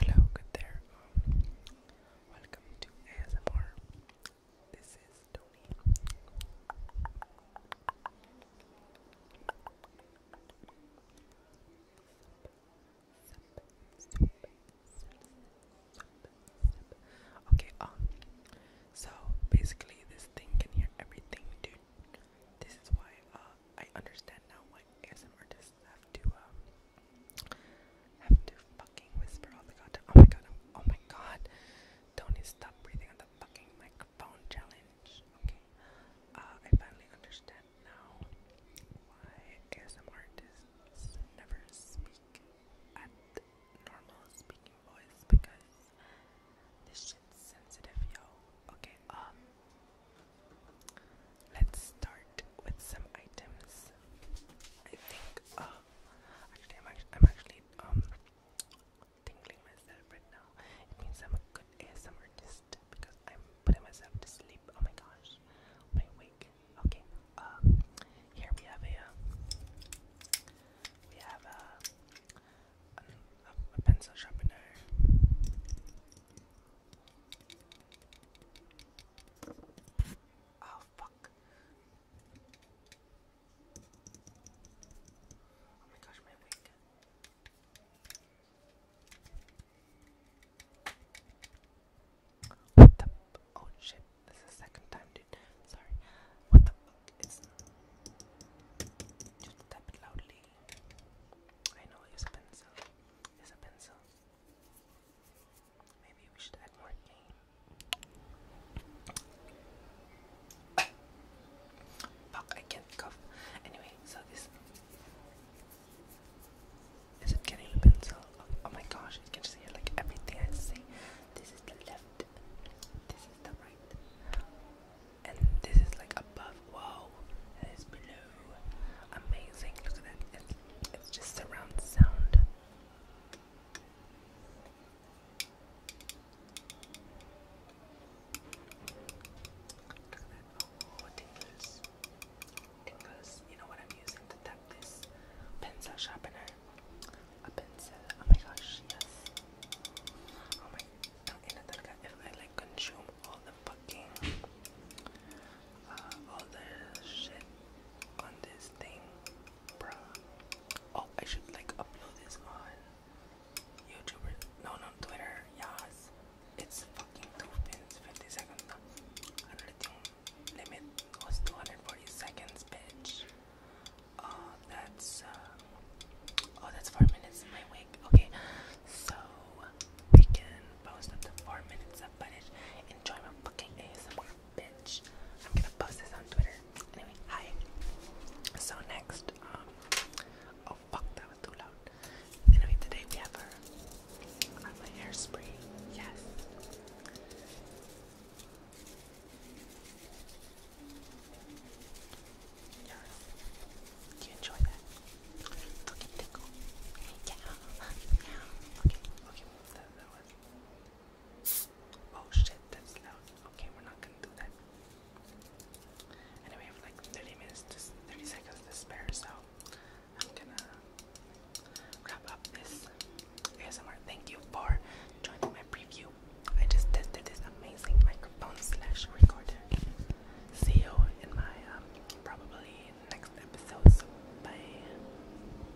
Hello, good there. welcome to ASMR. This is Tony. Okay, um, so basically this thing can hear everything, dude. This is why, uh, I understand now why ASM artists have to um, have to fucking whisper all the goddamn oh my god oh my god Tony stop breathing the fucking microphone challenge okay uh, I finally understand now why ASM artists never speak at normal speaking voice because this shit's sensitive, yo. Okay, um, let's start with some items. I think, uh, actually, I'm actually, um, tingling myself right now. It means I'm a good ASM artist because I'm putting myself to sleep. Oh my gosh, my wig. Okay, um, here we have a. Uh, we have uh, a, a, pencil sharpener. Oh fuck! Oh my gosh, my oh shit, this is the second time dude. Sorry. What the fuck is just tap it loudly. I know use a pencil. Use a pencil. Maybe we should add more game. Fuck, I can't cough. Anyway, so this is it getting the pencil? Oh, my gosh, you can see like everything I see. This is the left, this is the right, and this is like above. Wow, and it's below. Amazing, look at that. It's, it's just surround sound. Look at that. Oh, tingles because you know what I'm using to tap this pencil sharpener. A pencil. Oh my gosh, yes. Oh my if I like consume all the fucking uh, all the shit on this thing, bruh. Oh, I should like upload this on YouTuber, no, no, Twitter, yes. It's fucking two minutes, 50 seconds. Limit was 240 seconds, bitch. Oh, that's, uh, oh, that's four minutes in my wig. Okay, so we can post up to four minutes of footage. Enjoy my fucking ASMR, bitch. I'm gonna post this on Twitter hi. So next, um, oh fuck, that was too loud. Anyway, today we have our, I'm Yes. Do you enjoy that? Okay. Oh shit, that's loud. Okay, we're not gonna do that. And we have like 30 minutes 30 seconds to spare, so I'm gonna wrap up this ASMR. Thank you for joining my preview. I just tested this amazing microphone slash recorder. See you in my um, probably next episode. bye.